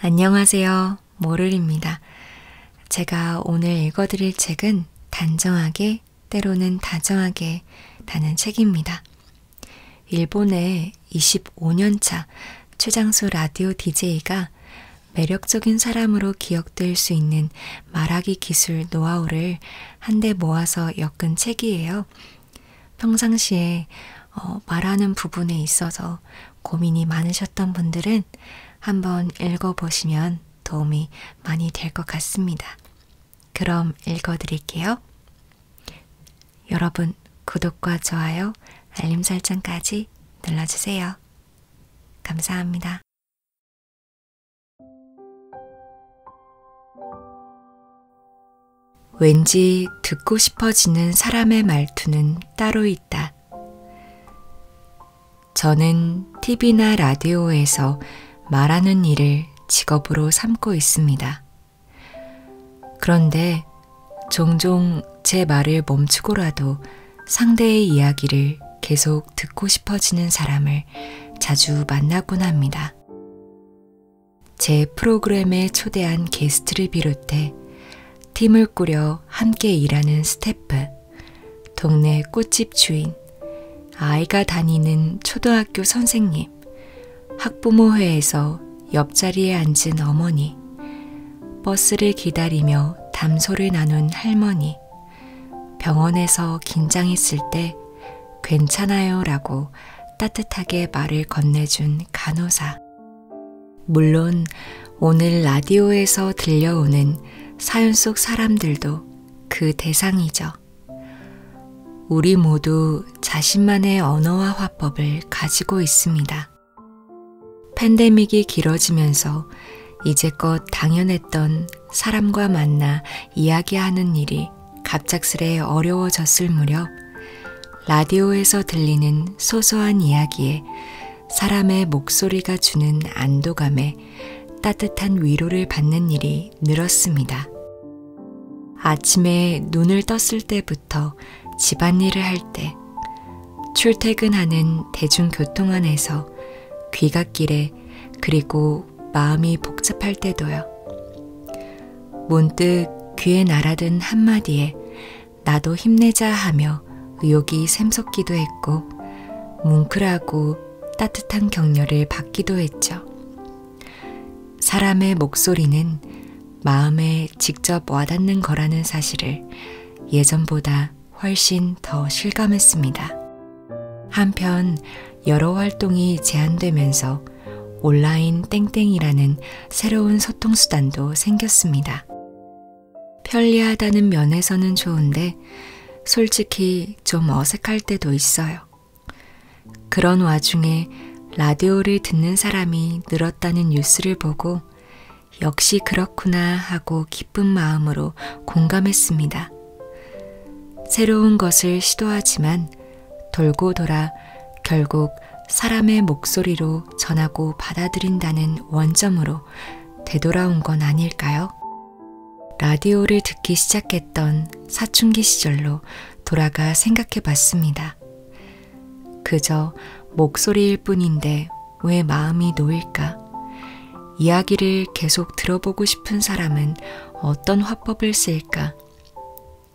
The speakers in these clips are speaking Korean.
안녕하세요. 모를입니다. 제가 오늘 읽어드릴 책은 단정하게, 때로는 다정하게 다는 책입니다. 일본의 25년차 최장수 라디오 DJ가 매력적인 사람으로 기억될 수 있는 말하기 기술 노하우를 한데 모아서 엮은 책이에요. 평상시에 어, 말하는 부분에 있어서 고민이 많으셨던 분들은 한번 읽어보시면 도움이 많이 될 것 같습니다. 그럼 읽어드릴게요. 여러분, 구독과 좋아요, 알림 설정까지 눌러주세요. 감사합니다. 왠지 듣고 싶어지는 사람의 말투는 따로 있다. 저는 TV나 라디오에서 말하는 일을 직업으로 삼고 있습니다. 그런데 종종 제 말을 멈추고라도 상대의 이야기를 계속 듣고 싶어지는 사람을 자주 만나곤 합니다. 제 프로그램에 초대한 게스트를 비롯해 팀을 꾸려 함께 일하는 스태프, 동네 꽃집 주인, 아이가 다니는 초등학교 선생님, 학부모회에서 옆자리에 앉은 어머니, 버스를 기다리며 담소를 나눈 할머니, 병원에서 긴장했을 때 괜찮아요 라고 따뜻하게 말을 건네준 간호사, 물론 오늘 라디오에서 들려오는 사연 속 사람들도 그 대상이죠. 우리 모두 자신만의 언어와 화법을 가지고 있습니다. 팬데믹이 길어지면서 이제껏 당연했던 사람과 만나 이야기하는 일이 갑작스레 어려워졌을 무렵 라디오에서 들리는 소소한 이야기에 사람의 목소리가 주는 안도감에 따뜻한 위로를 받는 일이 늘었습니다. 아침에 눈을 떴을 때부터 집안일을 할 때, 출퇴근하는 대중교통 안에서 귀갓길에 그리고 마음이 복잡할 때도요. 문득 귀에 날아든 한마디에 나도 힘내자 하며 의욕이 샘솟기도 했고 뭉클하고 따뜻한 격려를 받기도 했죠. 사람의 목소리는 마음에 직접 와닿는 거라는 사실을 예전보다 훨씬 더 실감했습니다. 한편 여러 활동이 제한되면서 온라인 땡땡이라는 새로운 소통수단도 생겼습니다. 편리하다는 면에서는 좋은데 솔직히 좀 어색할 때도 있어요. 그런 와중에 라디오를 듣는 사람이 늘었다는 뉴스를 보고 역시 그렇구나 하고 기쁜 마음으로 공감했습니다. 새로운 것을 시도하지만 돌고 돌아 결국 사람의 목소리로 전하고 받아들인다는 원점으로 되돌아온 건 아닐까요? 라디오를 듣기 시작했던 사춘기 시절로 돌아가 생각해 봤습니다. 그저 목소리일 뿐인데 왜 마음이 놓일까? 이야기를 계속 들어보고 싶은 사람은 어떤 화법을 쓸까?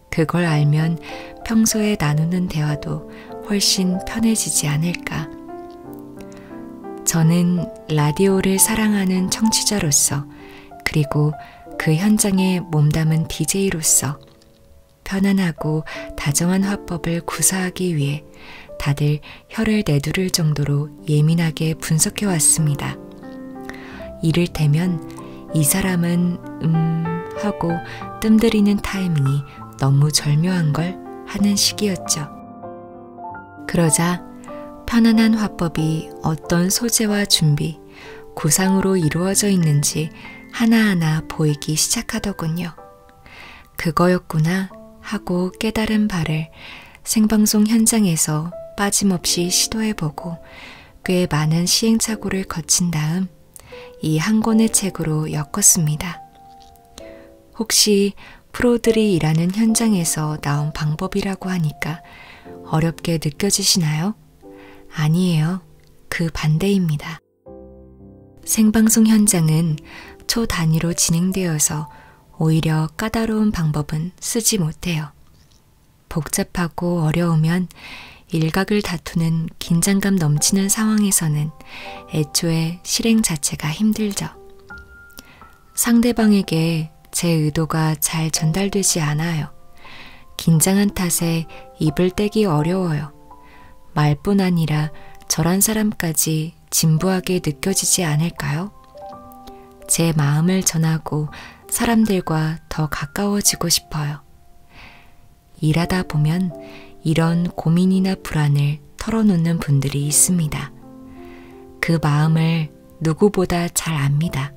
그걸 알면 평소에 나누는 대화도 훨씬 편해지지 않을까. 저는 라디오를 사랑하는 청취자로서 그리고 그 현장에 몸담은 DJ로서 편안하고 다정한 화법을 구사하기 위해 다들 혀를 내두를 정도로 예민하게 분석해 왔습니다. 이를테면 이 사람은 음 하고 뜸들이는 타이밍이 너무 절묘한 걸 하는 시기였죠. 그러자 편안한 화법이 어떤 소재와 준비, 구상으로 이루어져 있는지 하나하나 보이기 시작하더군요. 그거였구나 하고 깨달은 바를 생방송 현장에서 빠짐없이 시도해보고 꽤 많은 시행착오를 거친 다음 이한 권의 책으로 엮었습니다. 혹시 프로들이 일하는 현장에서 나온 방법이라고 하니까 어렵게 느껴지시나요? 아니에요. 그 반대입니다. 생방송 현장은 초 단위로 진행되어서 오히려 까다로운 방법은 쓰지 못해요. 복잡하고 어려우면 일각을 다투는 긴장감 넘치는 상황에서는 애초에 실행 자체가 힘들죠. 상대방에게 제 의도가 잘 전달되지 않아요. 긴장한 탓에 입을 떼기 어려워요. 말뿐 아니라 저란 사람까지 진부하게 느껴지지 않을까요? 제 마음을 전하고 사람들과 더 가까워지고 싶어요. 일하다 보면 이런 고민이나 불안을 털어놓는 분들이 있습니다. 그 마음을 누구보다 잘 압니다.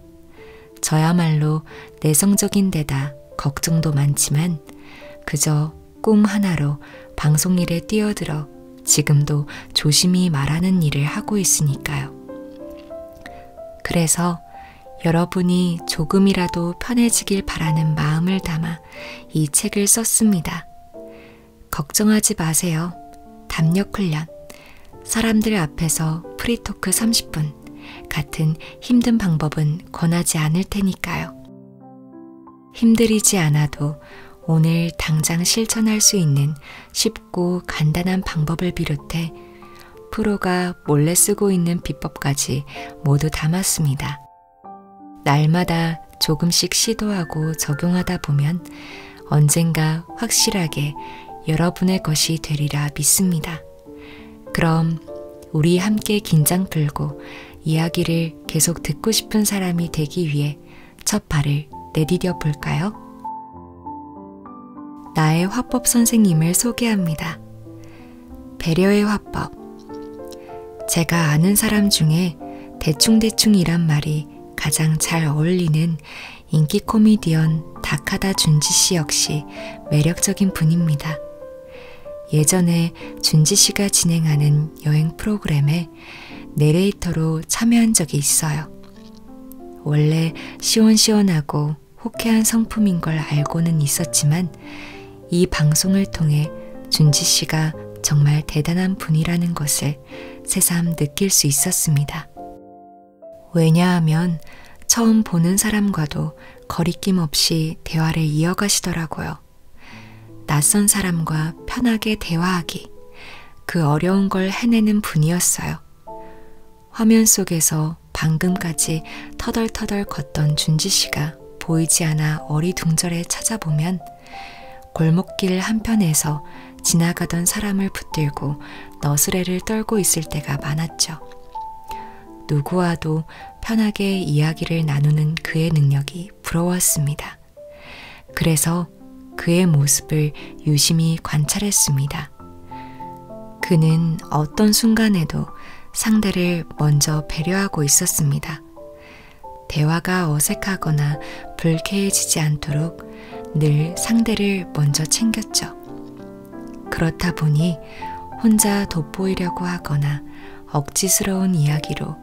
저야말로 내성적인 데다 걱정도 많지만 그저 꿈 하나로 방송 일에 뛰어들어 지금도 조심히 말하는 일을 하고 있으니까요. 그래서 여러분이 조금이라도 편해지길 바라는 마음을 담아 이 책을 썼습니다. 걱정하지 마세요. 담력 훈련. 사람들 앞에서 프리토크 30분. 같은 힘든 방법은 권하지 않을 테니까요. 힘들이지 않아도 오늘 당장 실천할 수 있는 쉽고 간단한 방법을 비롯해 프로가 제가 몰래 쓰고 있는 비법까지 모두 담았습니다. 날마다 조금씩 시도하고 적용하다 보면 언젠가 확실하게 여러분의 것이 되리라 믿습니다. 그럼 우리 함께 긴장 풀고 이야기를 계속 듣고 싶은 사람이 되기 위해 첫 발을 내디뎌 볼까요? 나의 화법 선생님을 소개합니다. 배려의 화법. 제가 아는 사람 중에 대충대충이란 말이 가장 잘 어울리는 인기 코미디언 다카다 준지 씨 역시 매력적인 분입니다. 예전에 준지 씨가 진행하는 여행 프로그램에 내레이터로 참여한 적이 있어요. 원래 시원시원하고 호쾌한 성품인 걸 알고는 있었지만 이 방송을 통해 준지 씨가 정말 대단한 분이라는 것을 새삼 느낄 수 있었습니다. 왜냐하면 처음 보는 사람과도 거리낌 없이 대화를 이어가시더라고요. 낯선 사람과 편하게 대화하기, 그 어려운 걸 해내는 분이었어요. 화면 속에서 방금까지 터덜터덜 걷던 준지 씨가 보이지 않아 어리둥절해 찾아보면 골목길 한편에서 지나가던 사람을 붙들고 너스레를 떨고 있을 때가 많았죠. 누구와도 편하게 이야기를 나누는 그의 능력이 부러웠습니다. 그래서 그의 모습을 유심히 관찰했습니다. 그는 어떤 순간에도 상대를 먼저 배려하고 있었습니다. 대화가 어색하거나 불쾌해지지 않도록 늘 상대를 먼저 챙겼죠. 그렇다 보니 혼자 돋보이려고 하거나 억지스러운 이야기로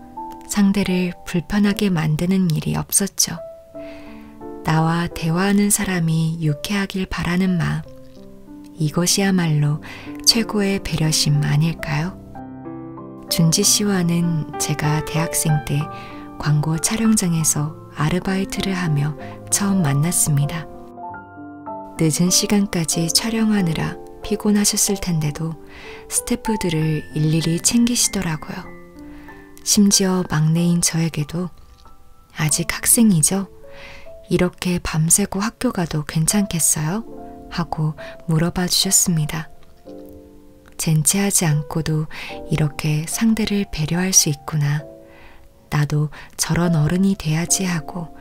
상대를 불편하게 만드는 일이 없었죠. 나와 대화하는 사람이 유쾌하길 바라는 마음, 이것이야말로 최고의 배려심 아닐까요? 준지 씨와는 제가 대학생 때 광고 촬영장에서 아르바이트를 하며 처음 만났습니다. 늦은 시간까지 촬영하느라 피곤하셨을 텐데도 스태프들을 일일이 챙기시더라고요. 심지어 막내인 저에게도 아직 학생이죠? 이렇게 밤새고 학교 가도 괜찮겠어요? 하고 물어봐 주셨습니다. 젠체하지 않고도 이렇게 상대를 배려할 수 있구나. 나도 저런 어른이 돼야지 하고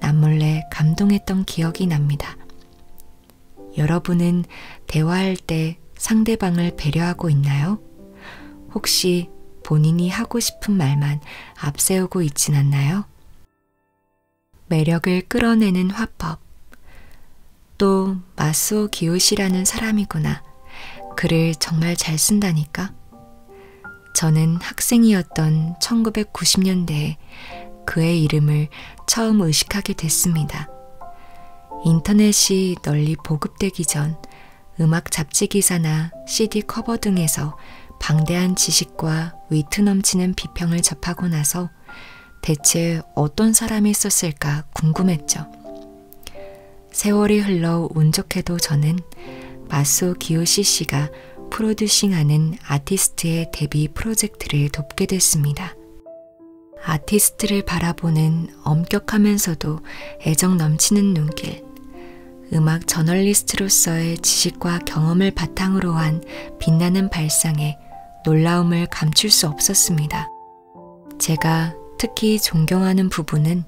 남몰래 감동했던 기억이 납니다. 여러분은 대화할 때 상대방을 배려하고 있나요? 혹시 본인이 하고 싶은 말만 앞세우고 있진 않나요? 매력을 끌어내는 화법. 또 마스오 기요시라는 사람이구나. 글을 정말 잘 쓴다니까. 저는 학생이었던 1990년대에 그의 이름을 처음 의식하게 됐습니다. 인터넷이 널리 보급되기 전 음악 잡지 기사나 CD 커버 등에서 방대한 지식과 위트 넘치는 비평을 접하고 나서 대체 어떤 사람이 썼을까 궁금했죠. 세월이 흘러 운 좋게도 저는 마소 기요시 씨가 프로듀싱하는 아티스트의 데뷔 프로젝트를 돕게 됐습니다. 아티스트를 바라보는 엄격하면서도 애정 넘치는 눈길, 음악 저널리스트로서의 지식과 경험을 바탕으로 한 빛나는 발상에 놀라움을 감출 수 없었습니다. 제가 특히 존경하는 부분은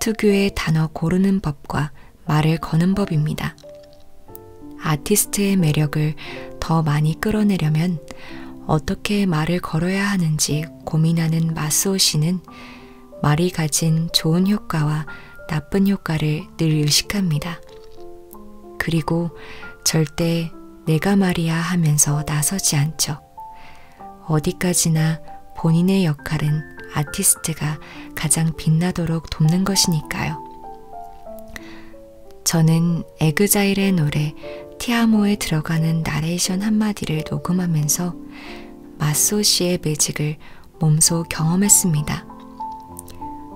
특유의 단어 고르는 법과 말을 거는 법입니다. 아티스트의 매력을 더 많이 끌어내려면 어떻게 말을 걸어야 하는지 고민하는 마스오 씨는 말이 가진 좋은 효과와 나쁜 효과를 늘 의식합니다. 그리고 절대 내가 말이야 하면서 나서지 않죠. 어디까지나 본인의 역할은 아티스트가 가장 빛나도록 돕는 것이니까요. 저는 에그자일의 노래 티아모에 들어가는 나레이션 한마디를 녹음하면서 마소 씨의 매직을 몸소 경험했습니다.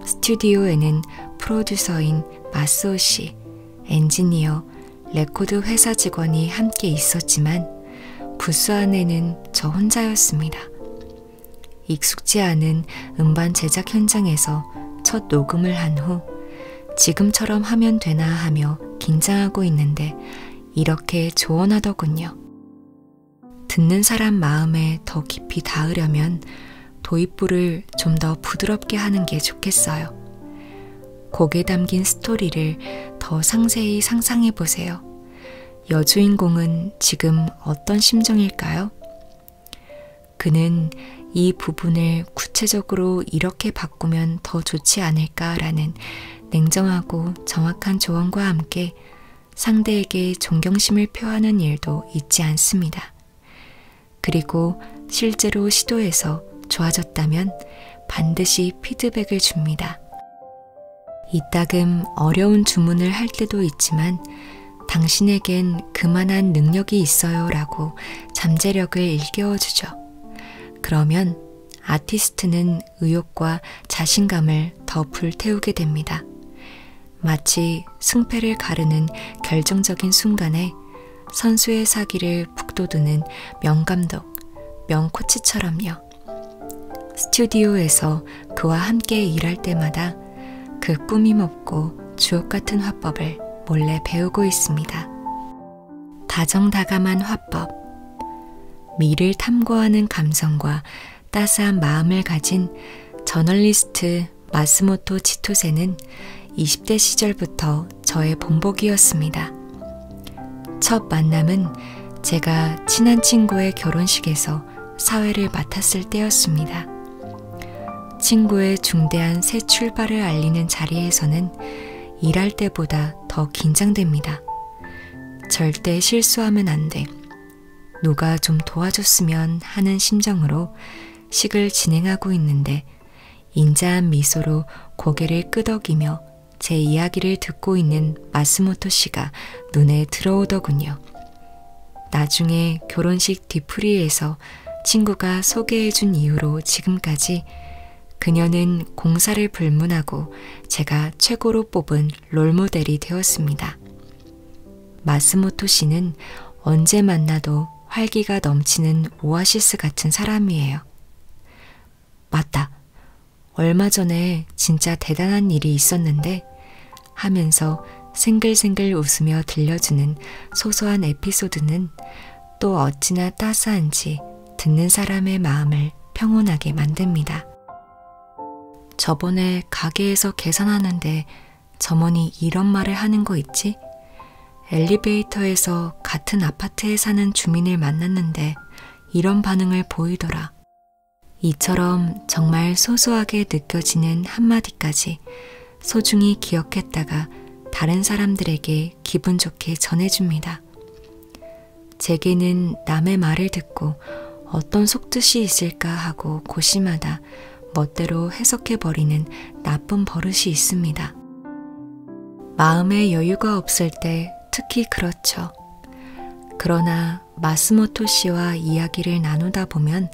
스튜디오에는 프로듀서인 마스오 씨, 엔지니어, 레코드 회사 직원이 함께 있었지만 부스 안에는 저 혼자였습니다. 익숙지 않은 음반 제작 현장에서 첫 녹음을 한 후 지금처럼 하면 되나 하며 긴장하고 있는데 이렇게 조언하더군요. 듣는 사람 마음에 더 깊이 닿으려면 도입부를 좀 더 부드럽게 하는 게 좋겠어요. 곡에 담긴 스토리를 더 상세히 상상해 보세요. 여주인공은 지금 어떤 심정일까요? 그는 이 부분을 구체적으로 이렇게 바꾸면 더 좋지 않을까라는 냉정하고 정확한 조언과 함께 때문에 상대에게 존경심을 표하는 일도 있지 않습니다. 그리고 실제로 시도해서 좋아졌다면 반드시 피드백을 줍니다. 이따금 어려운 주문을 할 때도 있지만 당신에겐 그만한 능력이 있어요 라고 잠재력을 일깨워주죠. 그러면 아티스트는 의욕과 자신감을 더 불태우게 됩니다. 마치 승패를 가르는 결정적인 순간에 선수의 사기를 북돋우는 명감독, 명코치처럼요. 스튜디오에서 그와 함께 일할 때마다 그 꾸밈없고 주옥 같은 화법을 몰래 배우고 있습니다. 다정다감한 화법, 미를 탐구하는 감성과 따스한 마음을 가진 저널리스트 마스모토 치토세는 20대 시절부터 저의 본보기였습니다. 첫 만남은 제가 친한 친구의 결혼식에서 사회를 맡았을 때였습니다. 친구의 중대한 새 출발을 알리는 자리에서는 일할 때보다 더 긴장됩니다. 절대 실수하면 안 돼. 누가 좀 도와줬으면 하는 심정으로 식을 진행하고 있는데 인자한 미소로 고개를 끄덕이며 제 이야기를 듣고 있는 마스모토 씨가 눈에 들어오더군요. 나중에 결혼식 뒤풀이에서 친구가 소개해준 이후로 지금까지 그녀는 공사를 불문하고 제가 최고로 뽑은 롤모델이 되었습니다. 마스모토 씨는 언제 만나도 활기가 넘치는 오아시스 같은 사람이에요. 맞다. 얼마 전에 진짜 대단한 일이 있었는데 하면서 생글생글 웃으며 들려주는 소소한 에피소드는 또 어찌나 따스한지 듣는 사람의 마음을 평온하게 만듭니다. 저번에 가게에서 계산하는데 점원이 이런 말을 하는 거 있지? 엘리베이터에서 같은 아파트에 사는 주민을 만났는데 이런 반응을 보이더라. 이처럼 정말 소소하게 느껴지는 한마디까지 소중히 기억했다가 다른 사람들에게 기분 좋게 전해줍니다. 제게는 남의 말을 듣고 어떤 속뜻이 있을까 하고 고심하다 멋대로 해석해버리는 나쁜 버릇이 있습니다. 마음의 여유가 없을 때 특히 그렇죠. 그러나 마스모토 씨와 이야기를 나누다 보면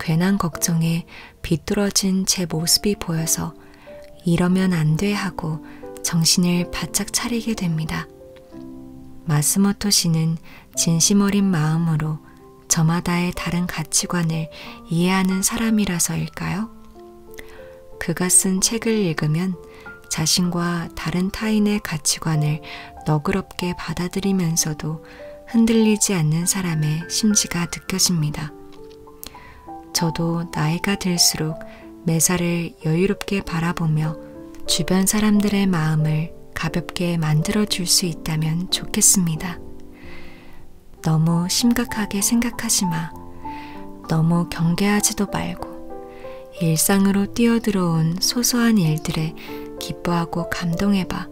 괜한 걱정에 비뚤어진 제 모습이 보여서 이러면 안 돼 하고 정신을 바짝 차리게 됩니다. 마스모토 씨는 진심 어린 마음으로 저마다의 다른 가치관을 이해하는 사람이라서일까요? 그가 쓴 책을 읽으면 자신과 다른 타인의 가치관을 너그럽게 받아들이면서도 흔들리지 않는 사람의 심지가 느껴집니다. 저도 나이가 들수록 매사를 나를 여유롭게 바라보며 주변 사람들의 마음을 가볍게 만들어 줄 수 있다면 좋겠습니다. 너무 심각하게 생각하지 마. 너무 경계하지도 말고 일상으로 뛰어들어온 소소한 일들에 기뻐하고 감동해봐.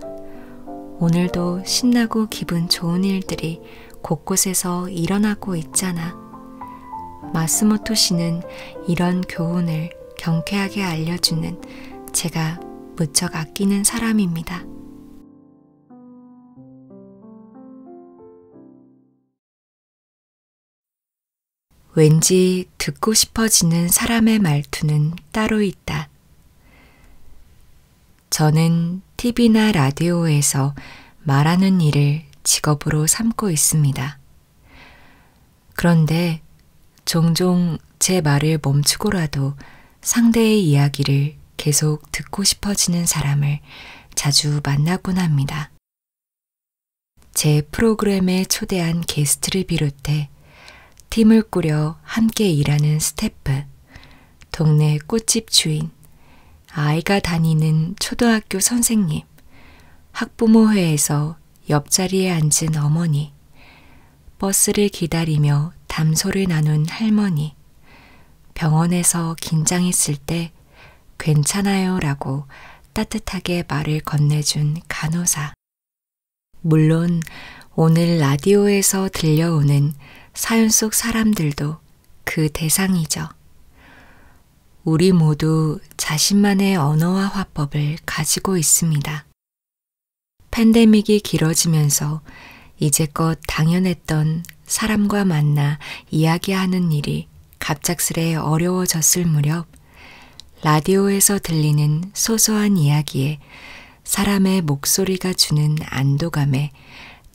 오늘도 신나고 기분 좋은 일들이 곳곳에서 일어나고 있잖아. 마스모토 씨는 이런 교훈을 경쾌하게 알려주는 제가 무척 아끼는 사람입니다. 왠지 듣고 싶어지는 사람의 말투는 따로 있다. 저는 TV나 라디오에서 말하는 일을 직업으로 삼고 있습니다. 그런데 종종 제 말을 멈추고라도 상대의 이야기를 계속 듣고 싶어지는 사람을 자주 만나곤 합니다. 제 프로그램에 초대한 게스트를 비롯해 팀을 꾸려 함께 일하는 스태프, 동네 꽃집 주인, 아이가 다니는 초등학교 선생님, 학부모회에서 옆자리에 앉은 어머니, 버스를 기다리며 담소를 나눈 할머니, 병원에서 긴장했을 때 괜찮아요 라고 따뜻하게 말을 건네준 간호사. 물론 오늘 라디오에서 들려오는 사연 속 사람들도 그 대상이죠. 우리 모두 자신만의 언어와 화법을 가지고 있습니다. 팬데믹이 길어지면서 이제껏 당연했던 사람과 만나 이야기하는 일이 갑작스레 어려워졌을 무렵 라디오에서 들리는 소소한 이야기에 사람의 목소리가 주는 안도감에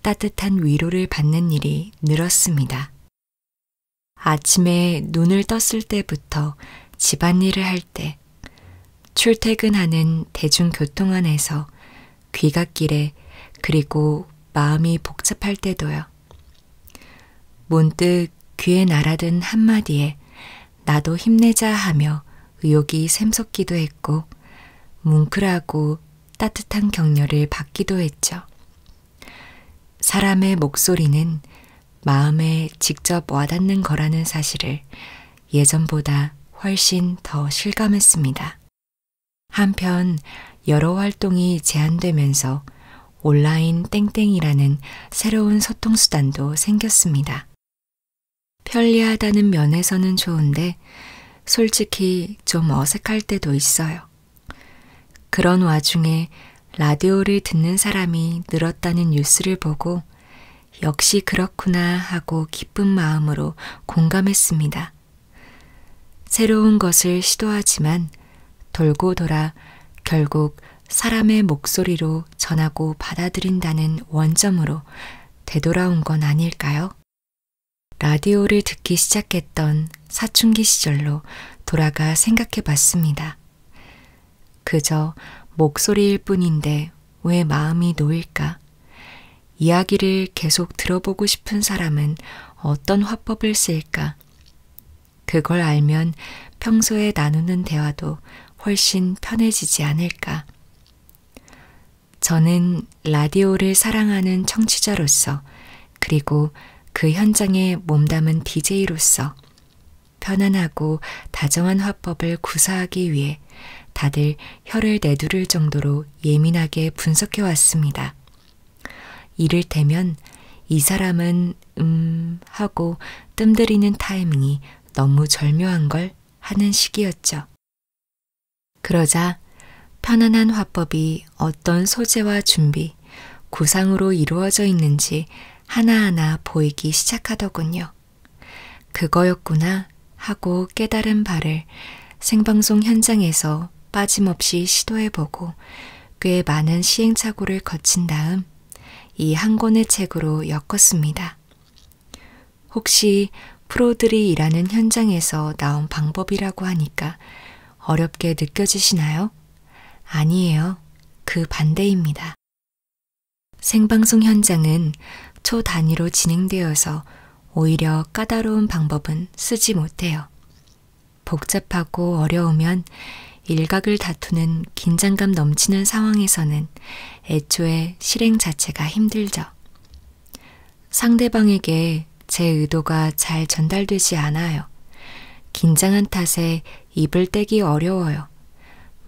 따뜻한 위로를 받는 일이 늘었습니다. 아침에 눈을 떴을 때부터 집안일을 할 때 출퇴근하는 대중교통 안에서 귀갓길에 그리고 마음이 복잡할 때도요. 문득 귀에 날아든 한마디에 나도 힘내자 하며 의욕이 샘솟기도 했고 뭉클하고 따뜻한 격려를 받기도 했죠. 사람의 목소리는 마음에 직접 와닿는 거라는 사실을 예전보다 훨씬 더 실감했습니다. 한편 여러 활동이 제한되면서 온라인 땡땡이라는 새로운 소통수단도 생겼습니다. 편리하다는 면에서는 좋은데 솔직히 좀 어색할 때도 있어요. 그런 와중에 라디오를 듣는 사람이 늘었다는 뉴스를 보고 역시 그렇구나 하고 기쁜 마음으로 공감했습니다. 새로운 것을 시도하지만 돌고 돌아 결국 사람의 목소리로 전하고 받아들인다는 원점으로 되돌아온 건 아닐까요? 라디오를 듣기 시작했던 사춘기 시절로 돌아가 생각해 봤습니다. 그저 목소리일 뿐인데 왜 마음이 놓일까? 이야기를 계속 들어보고 싶은 사람은 어떤 화법을 쓸까? 그걸 알면 평소에 나누는 대화도 훨씬 편해지지 않을까? 저는 라디오를 사랑하는 청취자로서 그리고 그 현장에 몸담은 DJ로서 편안하고 다정한 화법을 구사하기 위해 다들 혀를 내두를 정도로 예민하게 분석해 왔습니다. 이를테면 이 사람은 음 하고 뜸들이는 타이밍이 너무 절묘한 걸 하는 시기였죠. 그러자 편안한 화법이 어떤 소재와 준비, 것들이 구상으로 이루어져 있는지 하나하나 보이기 시작하더군요. 그거였구나 하고 깨달은 바를 생방송 현장에서 빠짐없이 시도해보고 꽤 많은 시행착오를 거친 다음 이 한 권의 책으로 엮었습니다. 혹시 프로들이 일하는 현장에서 나온 방법이라고 하니까 어렵게 느껴지시나요? 아니에요. 그 반대입니다. 생방송 현장은 초 단위로 진행되어서 오히려 까다로운 방법은 쓰지 못해요. 복잡하고 어려우면 일각을 다투는 긴장감 넘치는 상황에서는 애초에 실행 자체가 힘들죠. 상대방에게 제 의도가 잘 전달되지 않아요. 긴장한 탓에 입을 떼기 어려워요.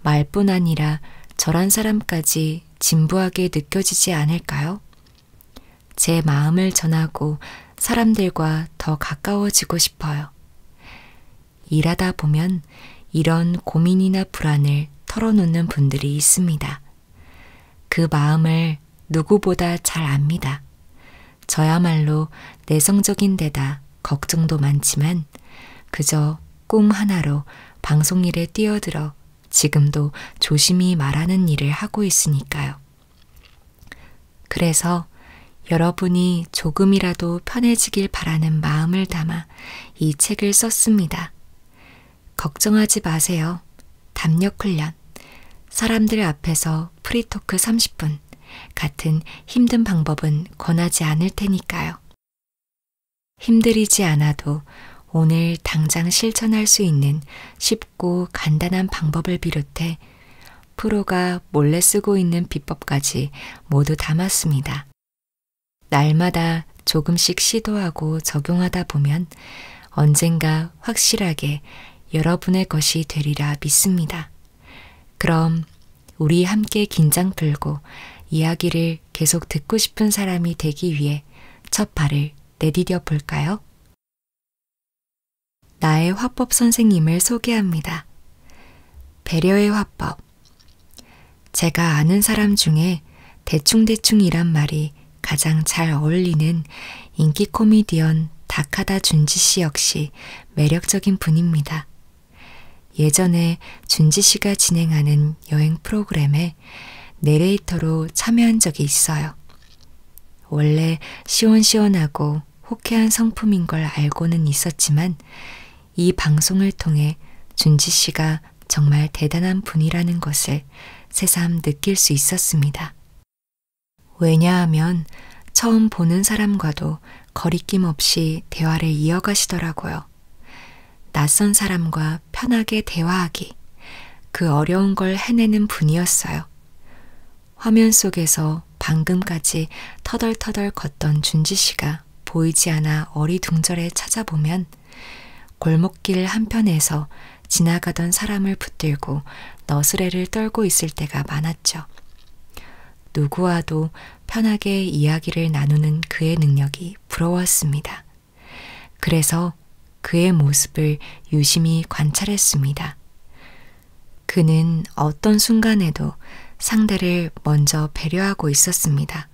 말뿐 아니라 저란 사람까지 진부하게 느껴지지 않을까요? 제 마음을 전하고 사람들과 더 가까워지고 싶어요. 일하다 보면 이런 고민이나 불안을 털어놓는 분들이 있습니다. 그 마음을 걸 누구보다 잘 압니다. 저야말로 내성적인 데다 걱정도 많지만 그저 꿈 하나로 방송 일에 뛰어들어 지금도 조심히 말하는 일을 하고 있으니까요. 그래서 여러분이 조금이라도 편해지길 바라는 마음을 담아 이 책을 썼습니다. 걱정하지 마세요. 담력 훈련. 사람들 앞에서 라디오 프리토크 30분 같은 힘든 방법은 권하지 않을 테니까요. 힘들이지 않아도 오늘 당장 실천할 수 있는 쉽고 간단한 방법을 비롯해 프로가 몰래 쓰고 있는 비법까지 모두 담았습니다. 날마다 조금씩 시도하고 적용하다 보면 언젠가 확실하게 여러분의 것이 되리라 믿습니다. 그럼 우리 함께 긴장 풀고 이야기를 계속 듣고 싶은 사람이 되기 위해 첫 발을 내디뎌 볼까요? 나의 화법 선생님을 소개합니다. 배려의 화법. 제가 아는 사람 중에 대충대충이란 말이 가장 잘 어울리는 인기 코미디언 다카다 준지 씨 역시 매력적인 분입니다. 예전에 준지 씨가 진행하는 여행 프로그램에 내레이터로 참여한 적이 있어요. 원래 시원시원하고 호쾌한 성품인 걸 알고는 있었지만 이 방송을 통해 준지 씨가 정말 대단한 분이라는 것을 새삼 느낄 수 있었습니다. 왜냐하면 처음 보는 사람과도 거리낌 없이 대화를 이어가시더라고요. 낯선 사람과 편하게 대화하기. 그 어려운 걸 해내는 분이었어요. 화면 속에서 방금까지 터덜터덜 걷던 준지 씨가 보이지 않아 어리둥절해 찾아보면 골목길 한편에서 지나가던 사람을 붙들고 너스레를 떨고 있을 때가 많았죠. 누구와도 편하게 이야기를 나누는 그의 능력이 부러웠습니다. 그래서 그의 모습을 유심히 관찰했습니다. 그는 어떤 순간에도 상대를 먼저 배려하고 있었습니다.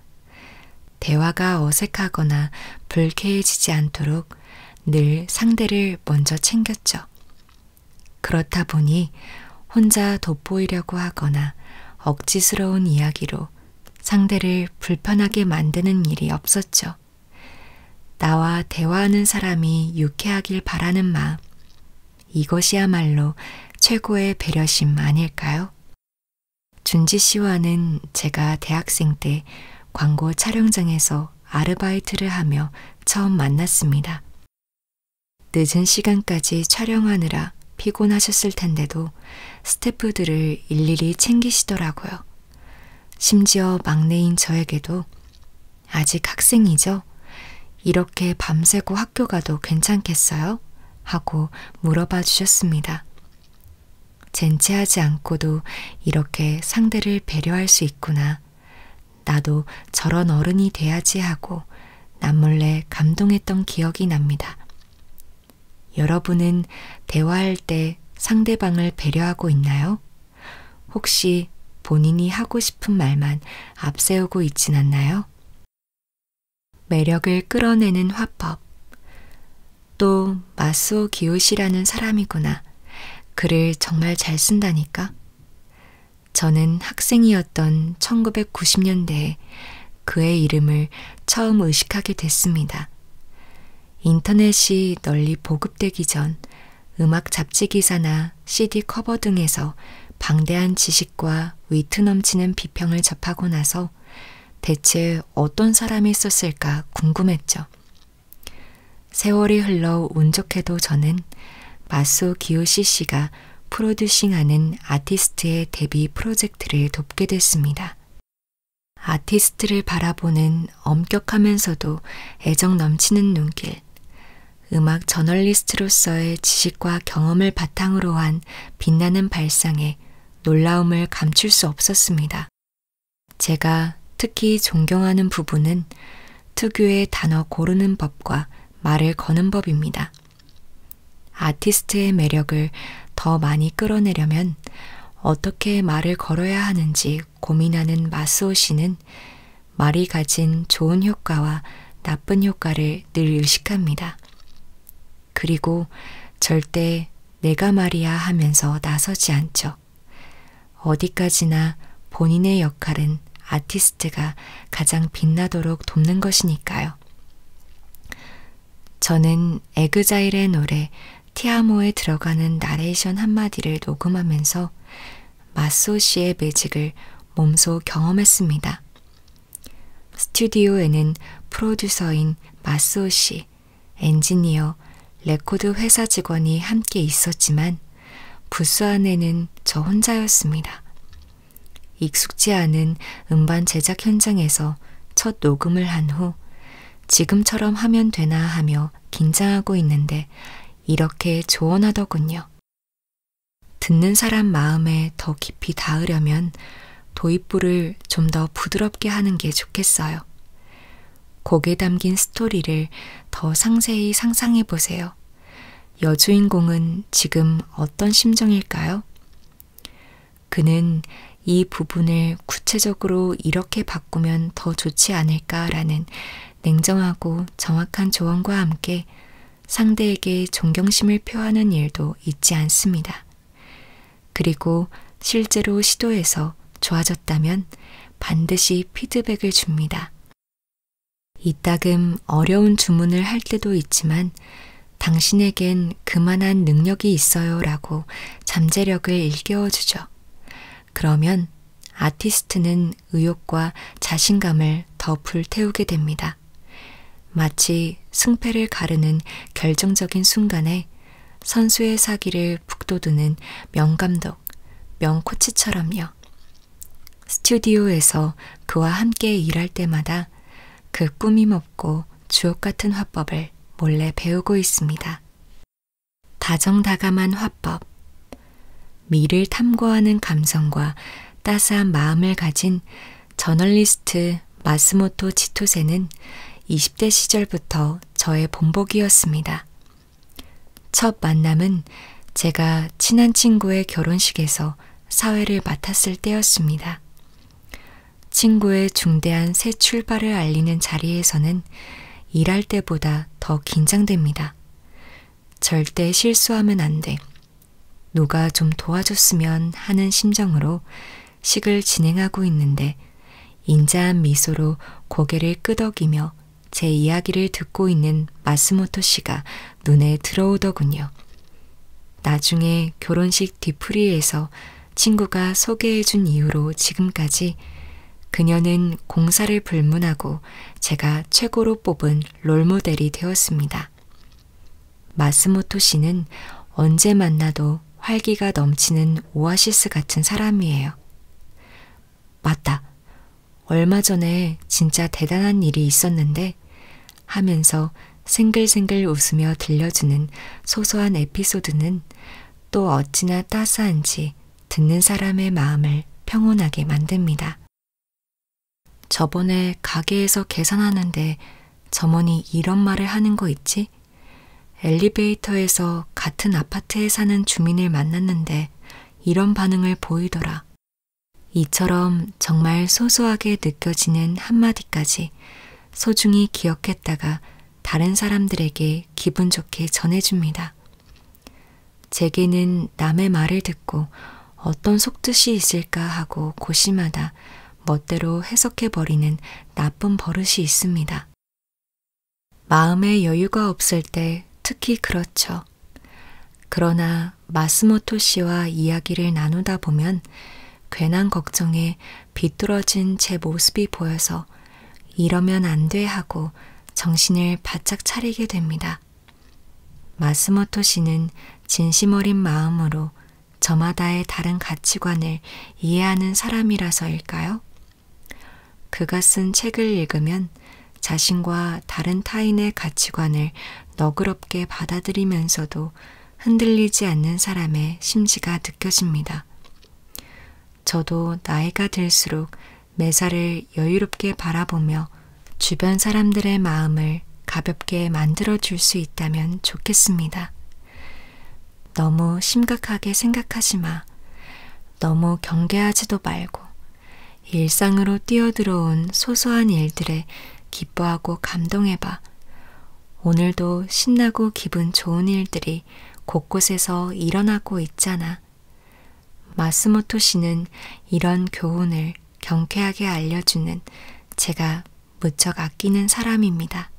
대화가 어색하거나 불쾌해지지 않도록 늘 상대를 먼저 챙겼죠. 그렇다 보니 혼자 돋보이려고 하거나 억지스러운 이야기로 상대를 불편하게 만드는 일이 없었죠. 나와 대화하는 사람이 유쾌하길 바라는 마음. 이것이야말로 최고의 배려심 아닐까요? 준지 씨와는 제가 대학생 때 광고 촬영장에서 가서 아르바이트를 하며 처음 만났습니다. 늦은 시간까지 촬영하느라 피곤하셨을 텐데도 스태프들을 일일이 챙기시더라고요. 심지어 막내인 저에게도 아직 학생이죠? 이렇게 밤새고 학교 가도 괜찮겠어요? 하고 물어봐 주셨습니다. 젠체하지 않고도 이렇게 상대를 배려할 수 있구나. 나도 저런 어른이 돼야지 하고 남몰래 감동했던 기억이 납니다. 여러분은 대화할 때 상대방을 배려하고 있나요? 혹시 본인이 하고 싶은 말만 앞세우고 있진 않나요? 매력을 끌어내는 화법. 또 마소 기요시라는 사람이구나. 글을 정말 잘 쓴다니까. 저는 학생이었던 1990년대에 그의 이름을 처음 의식하게 됐습니다. 인터넷이 널리 보급되기 전 음악 잡지 기사나 CD 커버 등에서 방대한 지식과 위트 넘치는 비평을 접하고 나서 대체 어떤 사람이 썼을까 궁금했죠. 세월이 흘러 운 좋게도 저는 마소 기요시 씨가 프로듀싱하는 아티스트의 데뷔 프로젝트를 돕게 됐습니다. 아티스트를 바라보는 엄격하면서도 애정 넘치는 눈길, 음악 저널리스트로서의 지식과 경험을 바탕으로 한 빛나는 발상에 놀라움을 감출 수 없었습니다. 제가 특히 존경하는 부분은 특유의 단어 고르는 법과 말을 거는 법입니다. 아티스트의 매력을 더 많이 끌어내려면 어떻게 말을 걸어야 하는지 고민하는 마스오 씨는 말이 가진 좋은 효과와 나쁜 효과를 늘 의식합니다. 그리고 절대 내가 말이야 하면서 나서지 않죠. 어디까지나 본인의 역할은 아티스트가 가장 빛나도록 돕는 것이니까요. 저는 에그자일의 노래 티아모에 들어가는 나레이션 한마디를 녹음하면서 마소 씨의 매직을 몸소 경험했습니다. 스튜디오에는 프로듀서인 마소 씨, 엔지니어, 레코드 회사 직원이 함께 있었지만 부스 안에는 저 혼자였습니다. 익숙지 않은 음반 제작 현장에서 첫 녹음을 한 후 지금처럼 하면 되나 하며 긴장하고 있는데 이렇게 조언하더군요. 듣는 사람 마음에 더 깊이 닿으려면 도입부를 좀 더 부드럽게 하는 게 좋겠어요. 곡에 담긴 스토리를 더 상세히 상상해 보세요. 여주인공은 지금 어떤 심정일까요? 그는 이 부분을 구체적으로 이렇게 바꾸면 더 좋지 않을까라는 냉정하고 정확한 조언과 함께 상대에게 존경심을 표하는 일도 잊지 않습니다. 그리고 실제로 시도해서 좋아졌다면 반드시 피드백을 줍니다. 이따금 어려운 주문을 할 때도 있지만 당신에겐 그만한 능력이 있어요 라고 잠재력을 일깨워주죠. 그러면 아티스트는 의욕과 자신감을 더 불태우게 됩니다. 마치 승패를 가르는 결정적인 순간에 선수의 사기를 북돋우는 명감독, 명코치처럼요. 스튜디오에서 그와 함께 일할 때마다 그 꾸밈없고 주옥 같은 화법을 몰래 배우고 있습니다. 다정다감한 화법, 미를 탐구하는 감성과 따스한 마음을 가진 저널리스트 마스모토 치토세는 20대 시절부터 저의 본보기였습니다. 첫 만남은 제가 친한 친구의 결혼식에서 사회를 맡았을 때였습니다. 친구의 중대한 새 출발을 알리는 자리에서는 일할 때보다 더 긴장됩니다. 절대 실수하면 안 돼. 누가 좀 도와줬으면 하는 심정으로 식을 진행하고 있는데 인자한 미소로 고개를 끄덕이며 제 이야기를 듣고 있는 마스모토 씨가 눈에 들어오더군요. 나중에 결혼식 뒤풀이에서 친구가 소개해준 이유로 지금까지 그녀는 공사를 불문하고 제가 최고로 뽑은 롤모델이 되었습니다. 마스모토 씨는 언제 만나도 활기가 넘치는 오아시스 같은 사람이에요. 맞다. 얼마 전에 진짜 대단한 일이 있었는데 하면서 생글생글 웃으며 들려주는 소소한 에피소드는 또 어찌나 따스한지 듣는 사람의 마음을 평온하게 만듭니다. 저번에 가게에서 계산하는데 점원이 이런 말을 하는 거 있지? 엘리베이터에서 같은 아파트에 사는 주민을 만났는데 이런 반응을 보이더라. 이처럼 정말 소소하게 느껴지는 한마디까지 소중히 기억했다가 다른 사람들에게 기분 좋게 전해줍니다. 제게는 남의 말을 듣고 어떤 속뜻이 있을까 하고 고심하다 멋대로 해석해버리는 나쁜 버릇이 있습니다. 마음의 여유가 없을 때 특히 그렇죠. 그러나 마스모토 씨와 이야기를 나누다 보면 괜한 걱정에 비뚤어진 제 모습이 보여서 이러면 안 돼 하고 정신을 바짝 차리게 됩니다. 마스모토 씨는 진심 어린 마음으로 저마다의 다른 가치관을 이해하는 사람이라서일까요? 그가 쓴 책을 읽으면 자신과 다른 타인의 가치관을 너그럽게 받아들이면서도 흔들리지 않는 사람의 심지가 느껴집니다. 저도 나이가 들수록 매사를 여유롭게 바라보며 주변 사람들의 마음을 가볍게 만들어 줄 수 있다면 좋겠습니다. 너무 심각하게 생각하지 마. 너무 경계하지도 말고 일상으로 뛰어들어온 소소한 일들에 기뻐하고 감동해봐. 오늘도 신나고 기분 좋은 일들이 곳곳에서 일어나고 있잖아. 마스모토 씨는 이런 교훈을 경쾌하게 알려주는 제가 무척 아끼는 사람입니다.